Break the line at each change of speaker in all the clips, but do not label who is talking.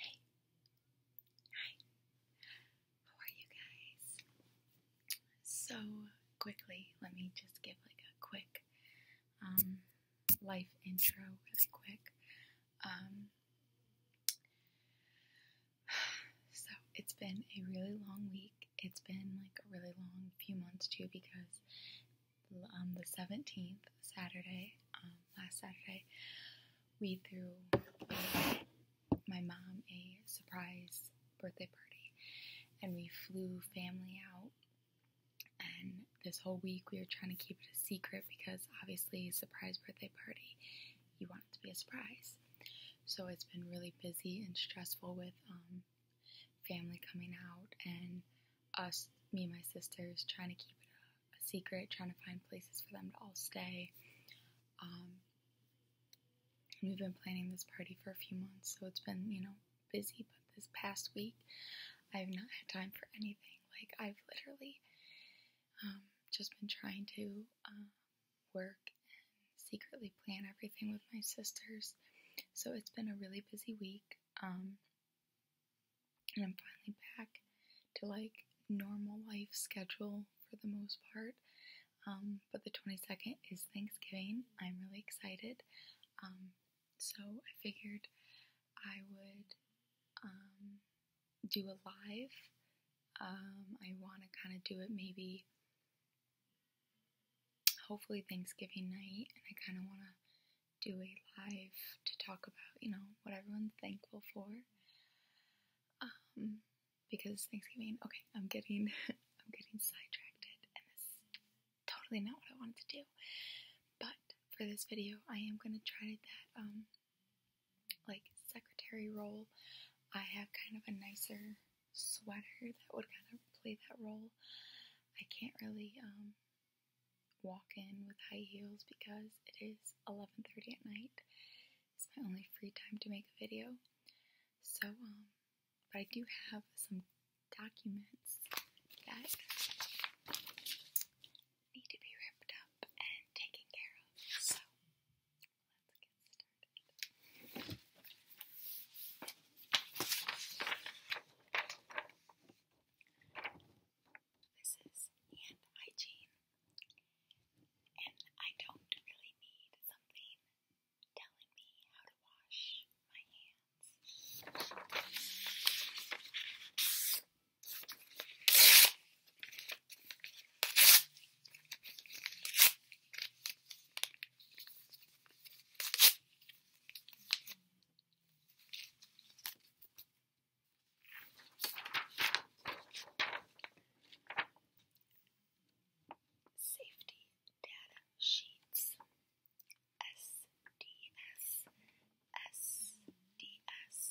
Hey. Hi. How are you guys? So quickly, let me just give like a quick um, life intro really quick. Um, so it's been a really long week. It's been like a really long few months too because on the 17th, Saturday, um, last Saturday, we threw um, my mom a surprise birthday party and we flew family out. And this whole week we were trying to keep it a secret because obviously, surprise birthday party, you want it to be a surprise. So it's been really busy and stressful with um, family coming out and us, me and my sisters, trying to keep it a, secret, trying to find places for them to all stay. Um, we've been planning this party for a few months, so it's been, you know, busy. But this past week, I've not had time for anything. Like, I've literally um, just been trying to um, work and secretly plan everything with my sisters. So it's been a really busy week. And I'm finally back to like normal life schedule for the most part. Um, but the 22nd is Thanksgiving. I'm really excited. Um, so I figured I would um, do a live. I want to kind of do it maybe, hopefully, Thanksgiving night. And I kind of want to do a live to talk about, you know, what everyone's thankful for. Um, because Thanksgiving, okay, I'm getting, I'm getting sidetracked, and this is totally not what I wanted to do. But for this video, I am gonna try that, um, like secretary role. I have kind of a nicer sweater that would kind of play that role. I can't really, um, walk in with high heels because it is 11:30 at night. It's my only free time to make a video. So um but I do have some documents that need to be ripped up and taken care of. So let's get started. This is hand hygiene, and I don't really need something telling me how to wash my hands. Safety Data Sheets SDS SDS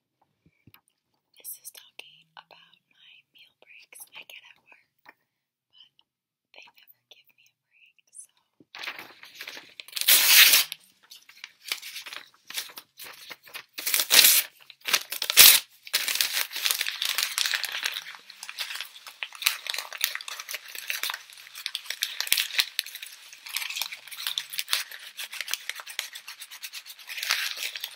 This is talking about my meal breaks I get at work, but they never give me a break,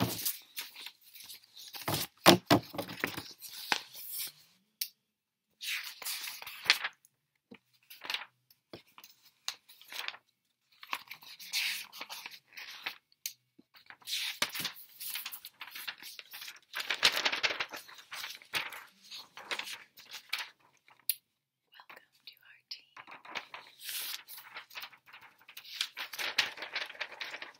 Welcome to our team.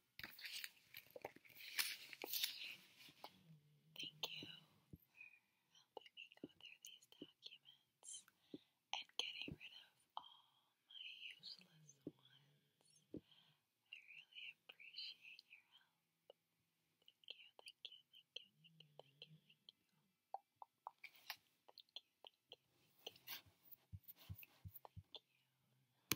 Thank you for helping me go through these documents and getting rid of all my useless ones. I really appreciate your help. Thank you, thank you, thank you, thank you, thank you, thank you. Thank you, thank you,